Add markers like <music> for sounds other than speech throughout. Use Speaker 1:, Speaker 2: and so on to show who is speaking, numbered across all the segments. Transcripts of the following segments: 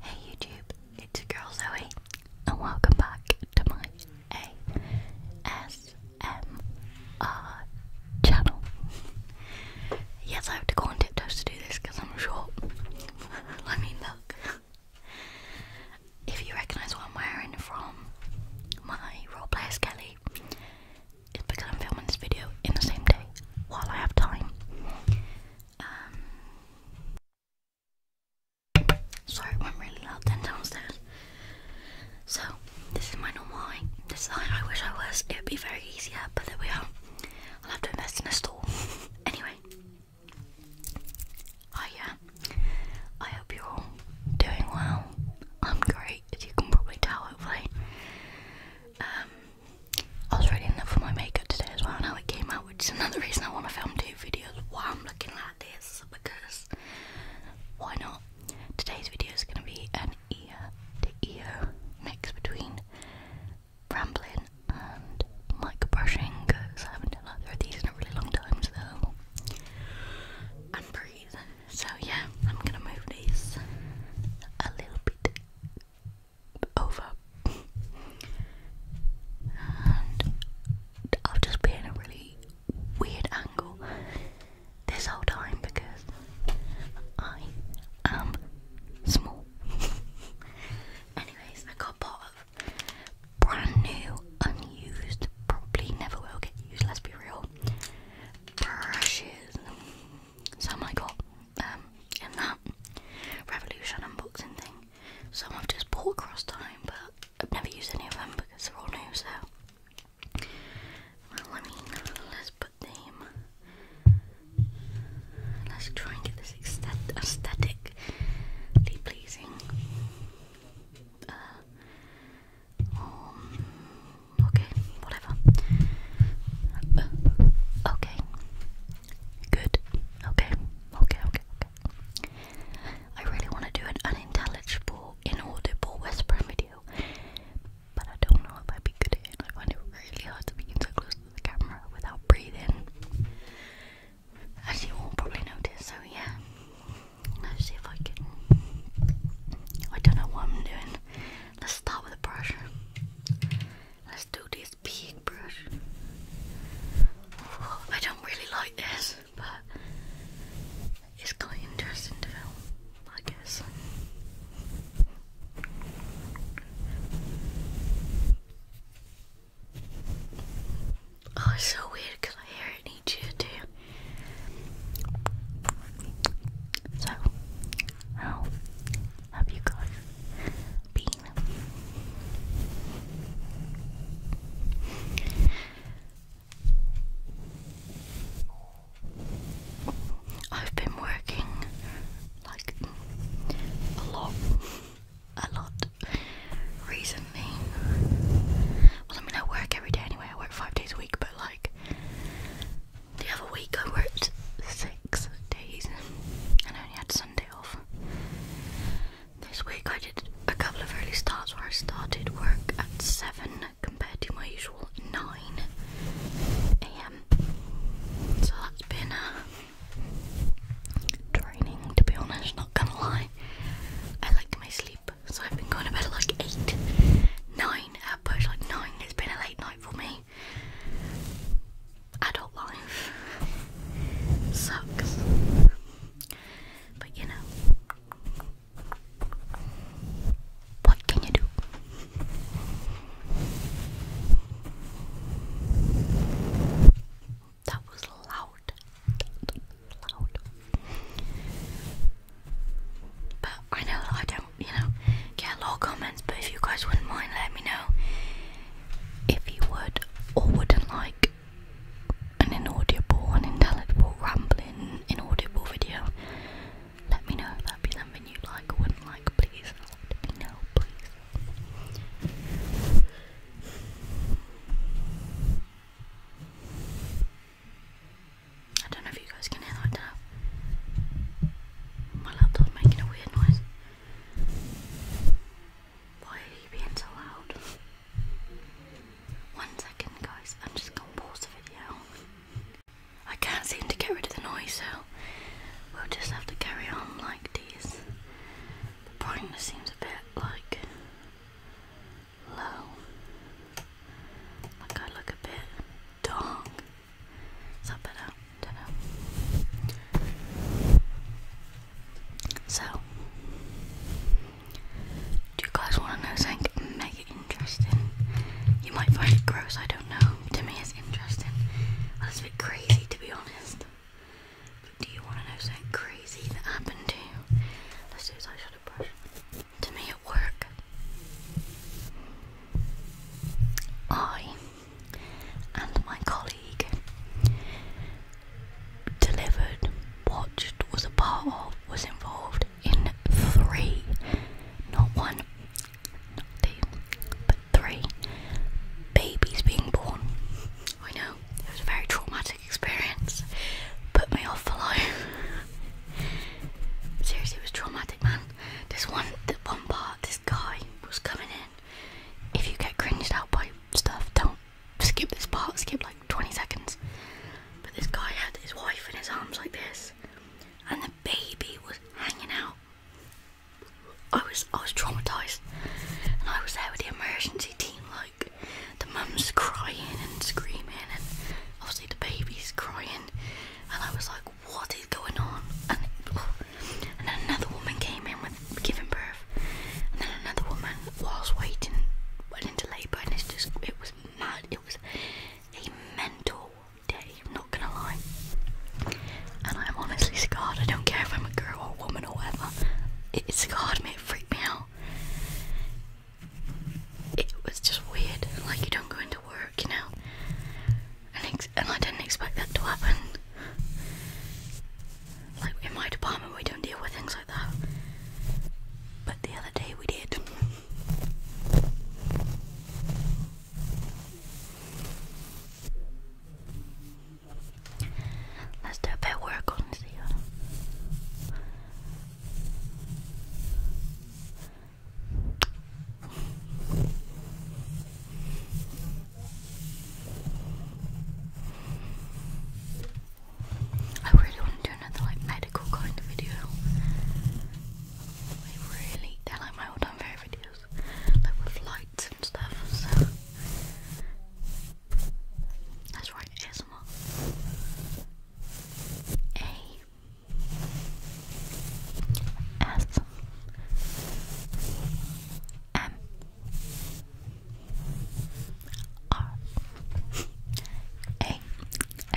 Speaker 1: Hey YouTube, it's your girl Zoe, and welcome back to my ASMR channel. yes, I have to go on tiptoes to do this because I'm short. I <laughs> mean, look. If you recognise what I'm wearing from my roleplayer Skelly, it's because I'm filming this video in the same day while I have time. Um, sorry, i really loud then downstairs. So, this is my normal height. This is the height I wish I was. It would be very easier, but there we are. I'll have to invest in a stool. <laughs> anyway. Oh uh, yeah. I hope you're doing well. I'm great, as you can probably tell hopefully. Um I was ready enough for my makeup today as well and how it came out, which is another reason I want to film two videos while I'm looking like this because why not? Today's video is going to be an ear to ear mix between rambling and mic brushing because I haven't done either of these in a really long time, so and breathe. So, yeah, I'm going to move these a little bit over. and I've just been in a really weird angle this whole time because I am small. <laughs> Anyways, I got part of brand new, unused, probably never will get used, let's be real, brushes. So I got um, in that Revolution unboxing thing. Some I've just bought across time, but I've never used any of them because they're all new, so. Well, I mean, let's put them. Let's try and get this aesthetically pleasing. Uh, okay, whatever. Uh, okay, good. Okay, okay, okay, okay. I really want to do an unintelligible, inaudible whispering video, but I don't know if I'd be good at it. I find it really hard to be so close to the camera without breathing. As you all probably noticed, so yeah. Let's see if I can. I don't know what I'm doing. Let's start with a brush. Let's do this big brush. I don't really like this, but it's kind of interesting to film, I guess. Oh, it's so weird because I hear it in too. So, how have you guys been? I've been working like a lot, a lot recently. Well, I mean, I work every day anyway, I work five days a week, but like the other week I worked six days and I only had Sunday off. This week I did a couple of early starts where I started work at 7 compared to my usual 9 am. So that's been uh, draining to be honest, not gonna lie. I like my sleep so I've been going to bed at like 8, 9 nine. I've push, like 9. It's been a late night for me. Adult life sucks. But you know, what can you do? That was loud. That was loud. But I know that I don't, you know, get a lot of comments, but if you guys wouldn't mind, let me know if you would or wouldn't like an inaudible, unintelligible, rambling, inaudible video. Let me know if that'd be something you like or wouldn't like, please. Let me know, please. I don't know if you guys can hear that. My laptop's making a weird noise. Why are you being so loud? One second, guys. I'm just gonna pause the video. I can't seem to get rid of the noise, so we'll just have to carry on like this. The brightness seems a bit like low. Like I look a bit dong. Is that better? Don't know. So, do you guys want to know something mega interesting? You might find it gross, I don't know. To me, it's interesting. That's a bit crazy, to be honest. do you want to know something crazy that happened to you? Let's do this eyeshadow brush to me at work. I and my colleague delivered, watched, was a part of, was involved in three, not one, not two, but three babies being born. I know, it was very traumatic experience put me off for life. <laughs> Seriously, it was traumatic, man. This one, this one part, this guy was coming in. If you get cringed out by stuff, don't skip this part. Skip like 20 seconds. But this guy had his wife in his arms like this, and the baby was hanging out. I was I was traumatized, and I was there with the emergency team the mum's crying and screaming, and obviously the baby's crying, and I was like, what is going on? And, then another woman came in with giving birth, and then another woman whilst waiting went into labour, and it's just it was mad. It was a mental day. I'm not gonna lie. And I'm honestly scarred. I don't care if I'm a girl or a woman or whatever. It's it scarred me. It freaked me out it was just weird. Like you don't go into work, you know. And, I didn't expect that to happen. Like in my department, we don't deal with things like that. But the other day we did. Let's do a bit work on this I really want to do another like medical kind of video. They really they like my all-time favourite videos. Like with lights and stuff, so that's right, it is small A S M R A S M R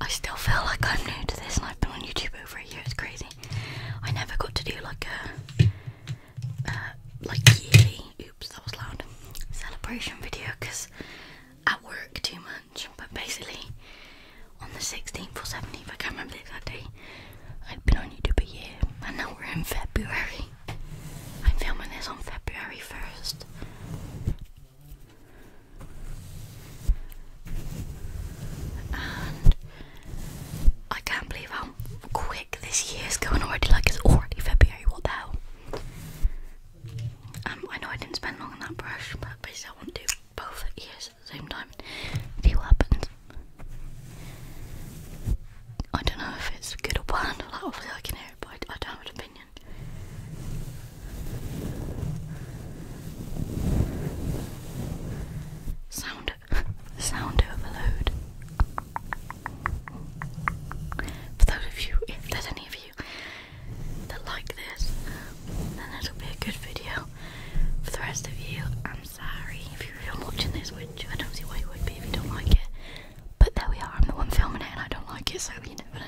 Speaker 1: I still feel like I'm new to this and I've been on YouTube over a year, it's crazy. I never got to do like a like Oops, that was loud. Celebration video because I work too much. But basically, on the 16th or 17th, I can't remember that day. I've been on YouTube a year, and now we're in February. I'm filming this on February 1st. I can't believe how quick this year's going already. Like it's already February. What the hell? Um, I know I didn't spend long on that brush, but basically I want to do both ears at the same time. See what happens. I don't know if it's good or bad. Hopefully, I can hear it, but I don't have an opinion. Sound <laughs> sound overload. For those of you, if there's any of you that like this, then it'll be a good video. For the rest of you, I'm sorry if you're watching this, which I don't see why you would be if you don't like it. But there we are, I'm the one filming it I don't like it, so you never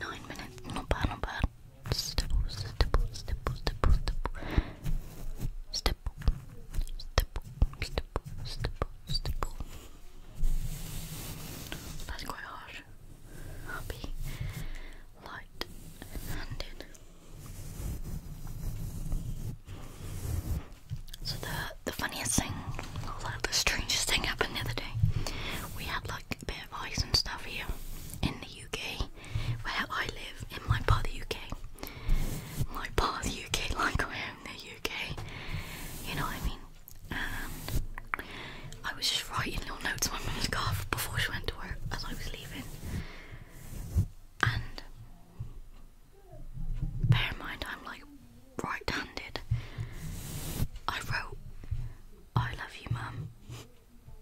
Speaker 1: nine minutes. Not bad, not bad. Step, step, step, step, step. Step, step, step, step, step. That's quite harsh. I'll be light-handed. So the the funniest thing, or like the strangest thing happened the other day. We had bit of ice and stuff here in the UK, where I live in my part of the UK. My part of the UK, <laughs> like I am in the UK. You know what I mean? I was just writing little notes on my mum's car before she went to work as I was leaving. And bear in mind, I'm like right-handed, I wrote, I love you mum,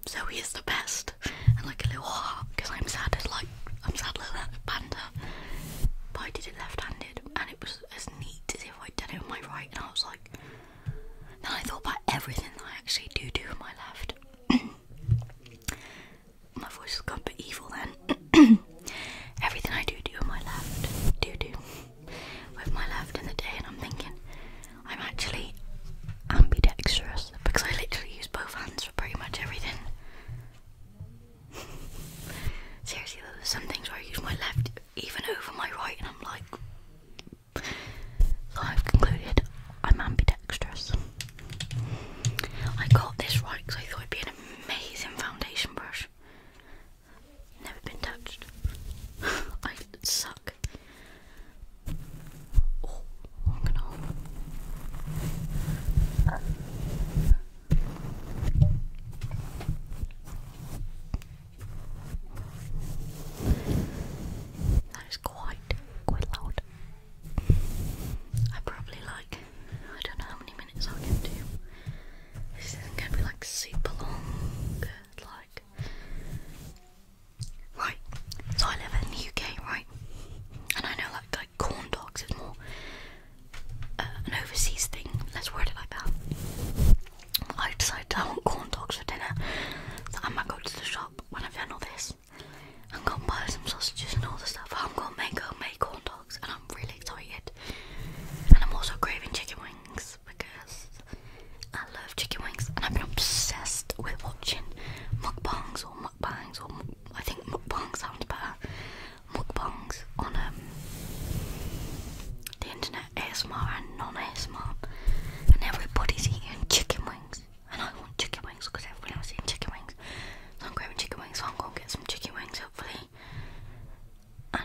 Speaker 1: Zoe is the best, and like a little heart, because I'm sad as like, I'm sad little panda, but I did it left-handed, and it was as neat as if I'd done it with my right, and I was like, then I thought about everything that I actually do do with my left. <coughs> my voice has gone to be evil then. <coughs> everything I do do with my left, do do with my left in the day, and I'm thinking I'm actually ambidextrous because I literally use both hands for pretty much everything. <laughs> Seriously, there's some things where I use my left even over my right, and I'm like, so I've concluded I'm ambidextrous. I got this right because I thought it'd be an amazing foundation brush. Never been touched. <laughs> I suck. Oh, I'm gonna That is quite, quite loud. I probably like, I don't know how many minutes i can do. This isn't gonna be like super long. Like, right. So I live in the UK, right? And I know like like corn dogs is more uh, an overseas thing. Let's word it like that. I decided I want corn dogs for dinner, I'm gonna go to the shop when I've done all this. I'm gonna buy some sausages and all the stuff. I'm gonna make homemade corn and I'm really excited. And I'm also craving chicken wings because I love chicken wings and I've been obsessed with watching mukbangs or mukbangs or I think mukbang sounds better. Mukbangs on um, the internet, ASMR and non-ASMR and everybody's eating chicken wings and I want chicken wings because everyone else is eating chicken wings so I'm grabbing chicken wings so I'm going to get some chicken wings hopefully and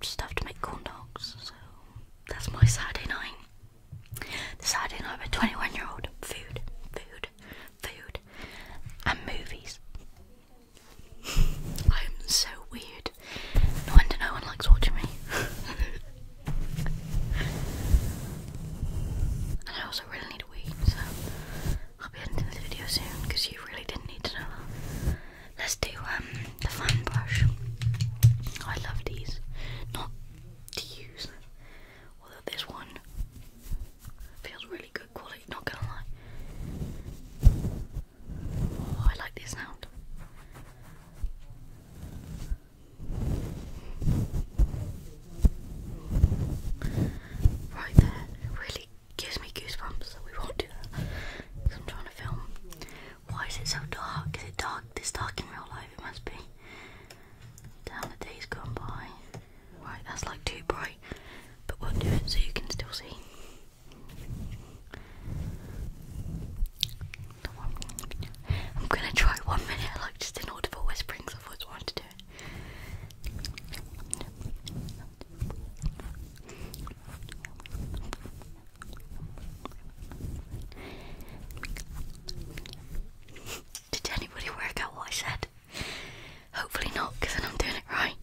Speaker 1: just have to make corn dogs. So that's my Saturday night. The Saturday night of a 21 year old food, food, food, and movies. <laughs> I am so weird. No wonder no one likes watching me. <laughs> and I also really need a weed, so I'll be ending this video soon because you really didn't need to know that. Let's do um, the fan brush. I love these. Not to use. Although this one feels really good quality, not gonna lie. Oh, I like this sound. Right there, really gives me goosebumps, so we won't do that. I'm trying to film. Why is it so dark? Is it dark? This dark in real life? It must be. Down the days gone by. Right, that's like too bright, but we'll do it so you can still see. I'm gonna try one minute, like just inaudible whispering, because I've always wanted to do it. Did anybody work out what I said? Hopefully not, because then I'm doing it right.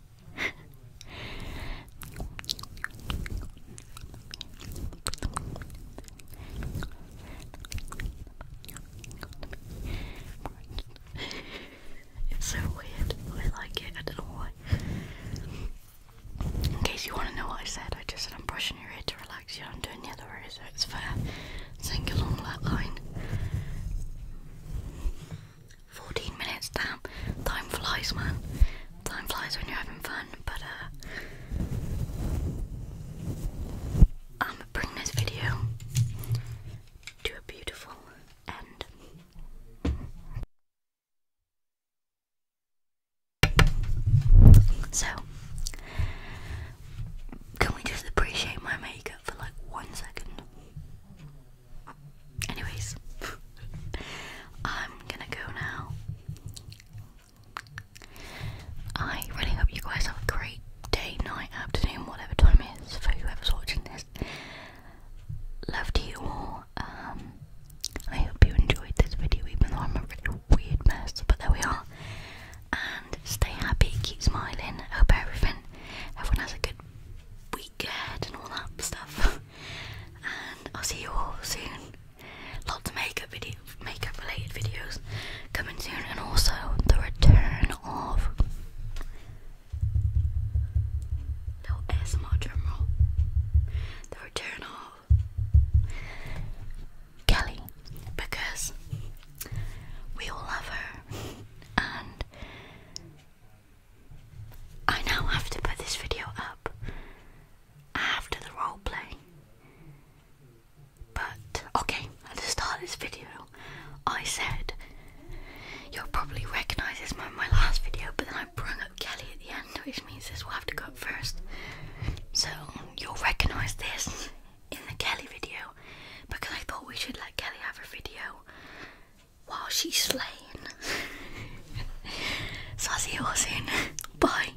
Speaker 1: <laughs> <laughs> It's so weird, I like it. I don't know why. In case you want to know what I said, I just said I'm brushing your hair to relax you. I'm doing the other way, so it's fair. Sing along that line. 14 minutes, damn. Time flies, man. Time flies when you're having fun, but uh. I'm gonna bring this video to a beautiful end. So, can we just appreciate my makeup for like one second? Anyways, <laughs> I'm gonna go now. I really hope you guys have a great day, night, afternoon, whatever time it is for whoever's watching this. Love to you all. Um, I hope you enjoyed this video, even though I'm a really weird mess, but there we are. And stay happy, keep smiling. I hope everything, everyone has a good week ahead and all that stuff. <laughs> and I'll see you all soon. Lots of makeup video, makeup related videos coming soon, and also the return of little ASMR drumroll. The return of Kelly, because we all love her, and I now have to put this video up after the role play. But okay, at the start of this video, I said you'll probably recognise this moment my last video, but then I brought up Kelly at the end, which means this will have to go up first. So you'll recognise this in the Kelly video because I thought we should let Kelly have a video while she's slaying. so i see you all soon. Bye.